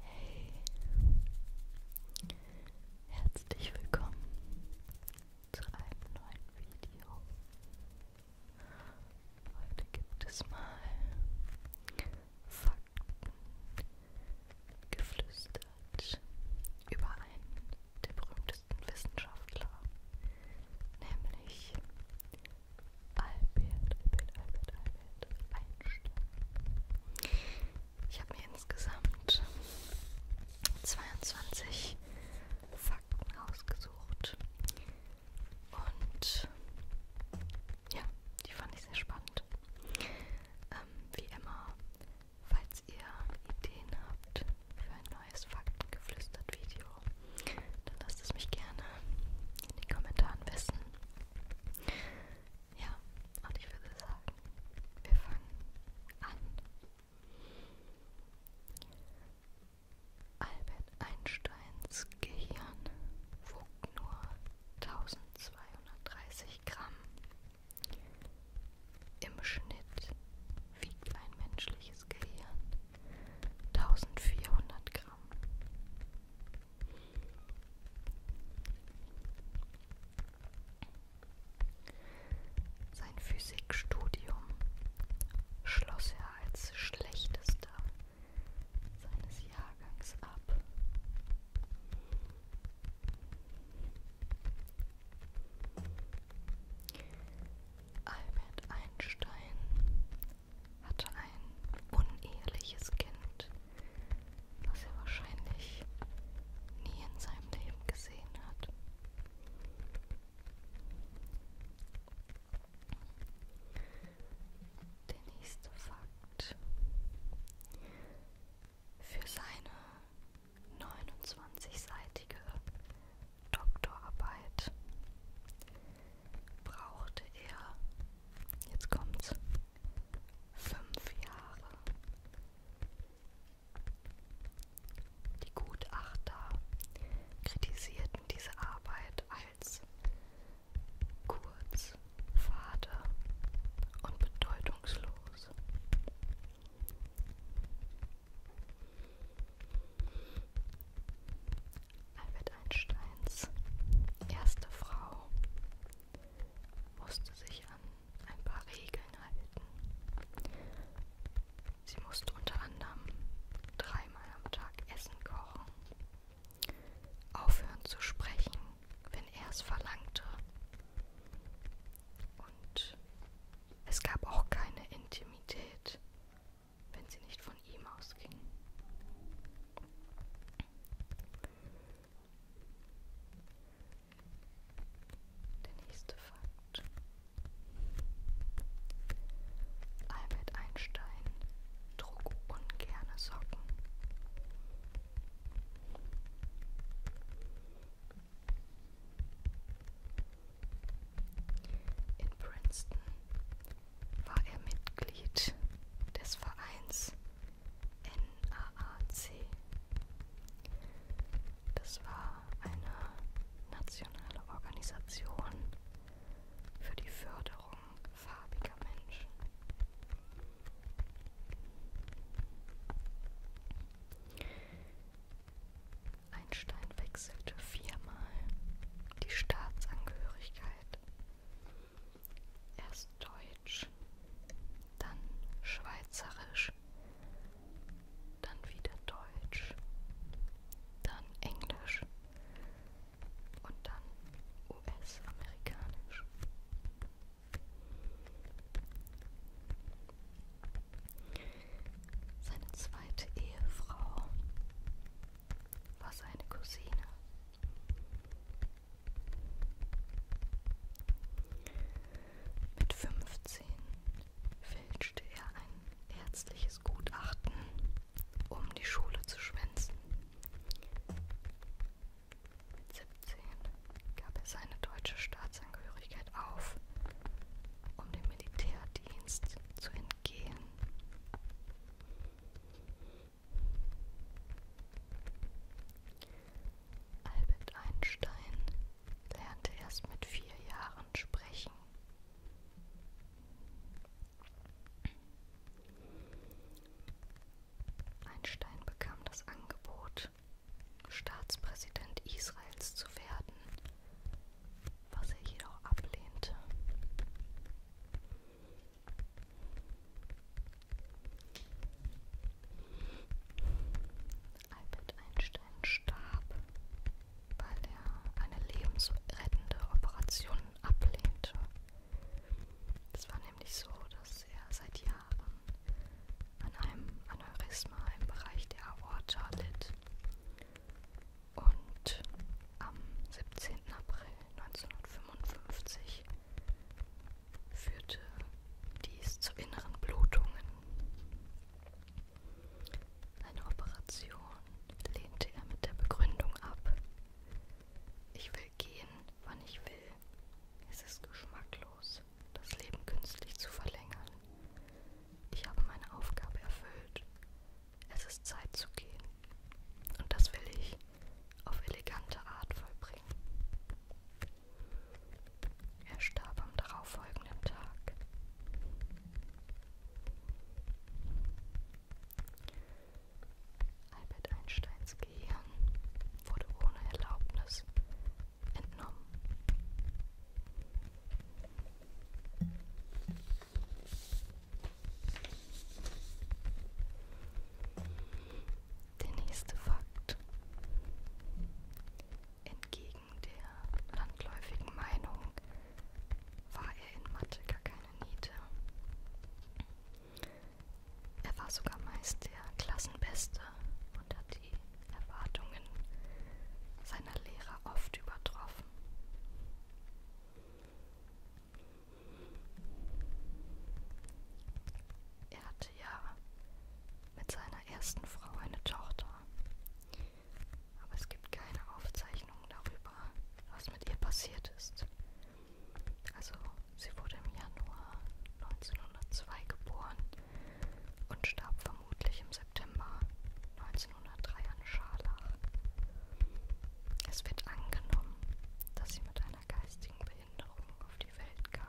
Hey. Herzlich willkommen zu einem neuen Video. Heute gibt es mal Fakten geflüstert über einen der berühmtesten Wissenschaftler, nämlich Albert, Albert, Albert, Albert Einstein. Ich habe mir insgesamt 22 Fakten ausgesucht und ja, die fand ich sehr spannend. Ähm, wie immer, falls ihr Ideen habt für ein neues Faktengeflüstert-Video, dann lasst es mich gerne in den Kommentaren wissen. Ja, und ich würde sagen, wir fangen an. Albert Einsteins Gehirn wog nur 1000. 230 Gramm. Im Schnitt wiegt ein menschliches Gehirn 1400 Gramm. Sein Physikstudium schloss er als schlechtester seines Jahrgangs ab. Albert Einstein hatte ein uneheliches Kind, was er wahrscheinlich nie in seinem Leben gesehen hat. Der nächste Fakt bedankt für seine 29-seitige Doktorarbeit. Brauchte er, jetzt kommt's, fünf Jahre. Die Gutachter kritisierten diese Arbeit als kurz, fade und bedeutungslos. Albert Einsteins erste Frau musste sich an ein paar Regeln halten. Sie musste unter anderem dreimal am Tag Essen kochen, aufhören zu sprechen, wenn er es verlangte. Und es gab auch keine Intimität, wenn sie nicht von ihm ausging. Der nächste Fakt. Albert Einstein trug ungerne Socken. In Princeton war er Mitglied des Vereins NAAC. Das war eine nationale Organisation für die Förderung farbiger Mensch. Einstein wechselte viermal die Staatsangehörigkeit. Erst deutsch, dann schweizerisch, dann wieder deutsch, dann englisch, und dann US-amerikanisch. Seine zweite Ehefrau war seine Cousine. Mit 15 fälschte er ein ärztliches Gutachten, um die Schule zu schwärmen. 1. Mit 17 gab er seine deutsche Staatsangehörigkeit auf, um dem Militärdienst zu entgehen. Albert Einstein lernte erst mit vier Jahren sprechen. Einstein bekam das Angebot, Staatspräsident Israels zu werden, was er jedoch ablehnte. Albert Einstein starb weil er eine lebensrettende Operation ablehnte. Es war nämlich so, dass er seit Jahren an einem Aneurysma im Bereich der Aorta litt. Und am 17. April 1955 führte dies zu inneren Blutungen. Eine Operation, lehnte er mit der Begründung ab. Ich will gehen, wann ich will. Es ist geschmacklos, das Leben künstlich zu verlängern. Ich habe meine Aufgabe erfüllt. Es ist Zeit zu gehen. Und das will ich auf elegante Art vollbringen. Er starb am darauffolgenden Tag. Albert Einsteins Gehirn wurde ohne Erlaubnis entnommen. Der nächste Fakt. Entgegen der landläufigen Meinung war er in Mathe gar keine Niete. Er war sogar meist der Klassenbeste und hat die Erwartungen seiner Lehrer oft übertroffen. Er hatte ja mit seiner ersten Frau eine Tochter, aber es gibt keine Aufzeichnungen darüber, was mit ihr passiert ist. Also, sie wurde im Januar 1902 geboren und starb vermutlich im September 1903 an Scharlach. Es wird angenommen, dass sie mit einer geistigen Behinderung auf die Welt kam.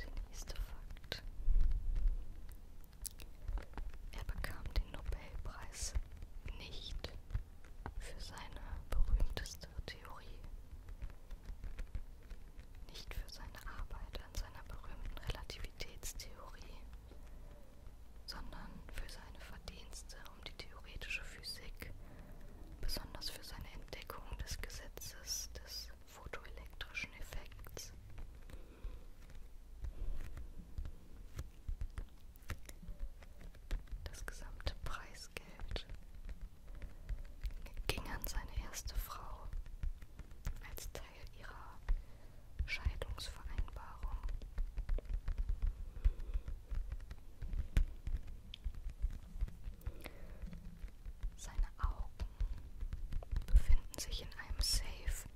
Der nächste Fakt. Er bekam den Nobelpreis nicht für seine berühmteste Theorie, nicht für seine Arbeit an seiner berühmten Relativitätstheorie, sondern für seine Verdienste um die theoretische Physik besonders für seine Entdeckung des Gesetzes des photoelektrischen Effekts. Das gesamte Preisgeld ging an seine erste Frau als Teil ihrer Scheidungsvereinbarung. Seine Augen befinden sich in einem Safe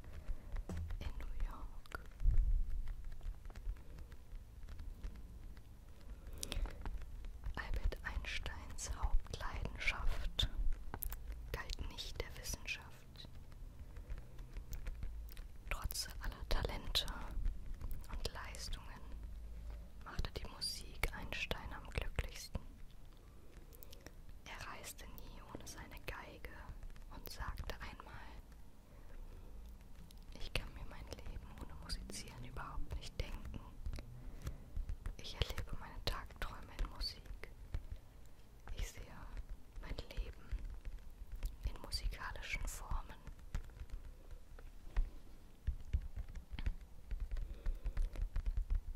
in New York. Albert Einsteins Hauptleidenschaft galt nicht der Wissenschaft. Trotz aller Talente und Leistungen machte die Musik Einstein am glücklichsten. Er reiste nie ohne seine Geige und sagte einmal, ich kann mir mein Leben ohne Musizieren überhaupt nicht denken. Ich erlebe meine Tagträume in Musik. Ich sehe mein Leben in musikalischen Formen.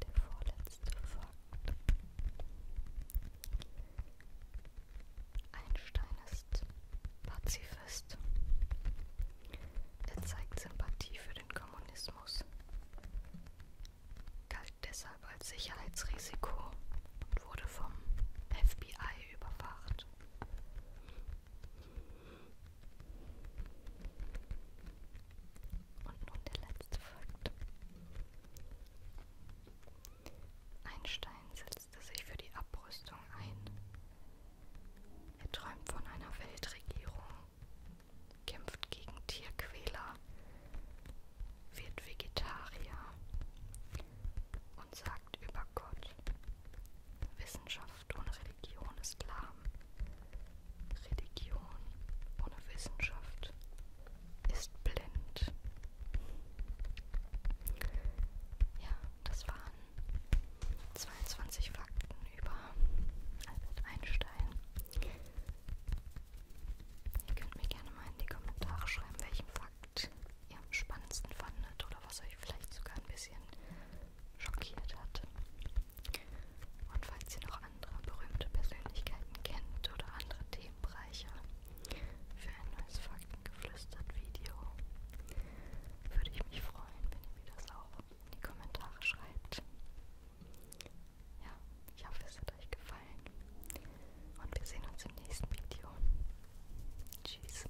Der vorletzte Fakt. Einstein ist Pazifist. Er zeigt Sympathie für den Kommunismus, galt deshalb als Sicherheitsrisiko und wurde vom FBI überwacht. Und nun der letzte Fakt. Einstein setzte sich für die Abrüstung ein. Er träumt von einer Weltregierung, kämpft gegen Tierquäler, wird Vegetarier und sagt über Gott, Wissenschaft Wissenschaft ohne Religion ist lahm. Religion ohne Wissenschaft ist blind. Ja, das waren 22 Fakten über Albert Einstein. Ihr könnt mir gerne mal in die Kommentare schreiben, welchen Fakt ihr am spannendsten fandet oder was euch vielleicht sogar ein bisschen schockiert hat. Und falls ihr noch andere berühmte Persönlichkeiten kennt oder andere Themenbereiche für ein neues Fakten-Geflüstert-Video, würde ich mich freuen, wenn ihr mir das auch in die Kommentare schreibt. Ja, ich hoffe, es hat euch gefallen. Und wir sehen uns im nächsten Video. Tschüss.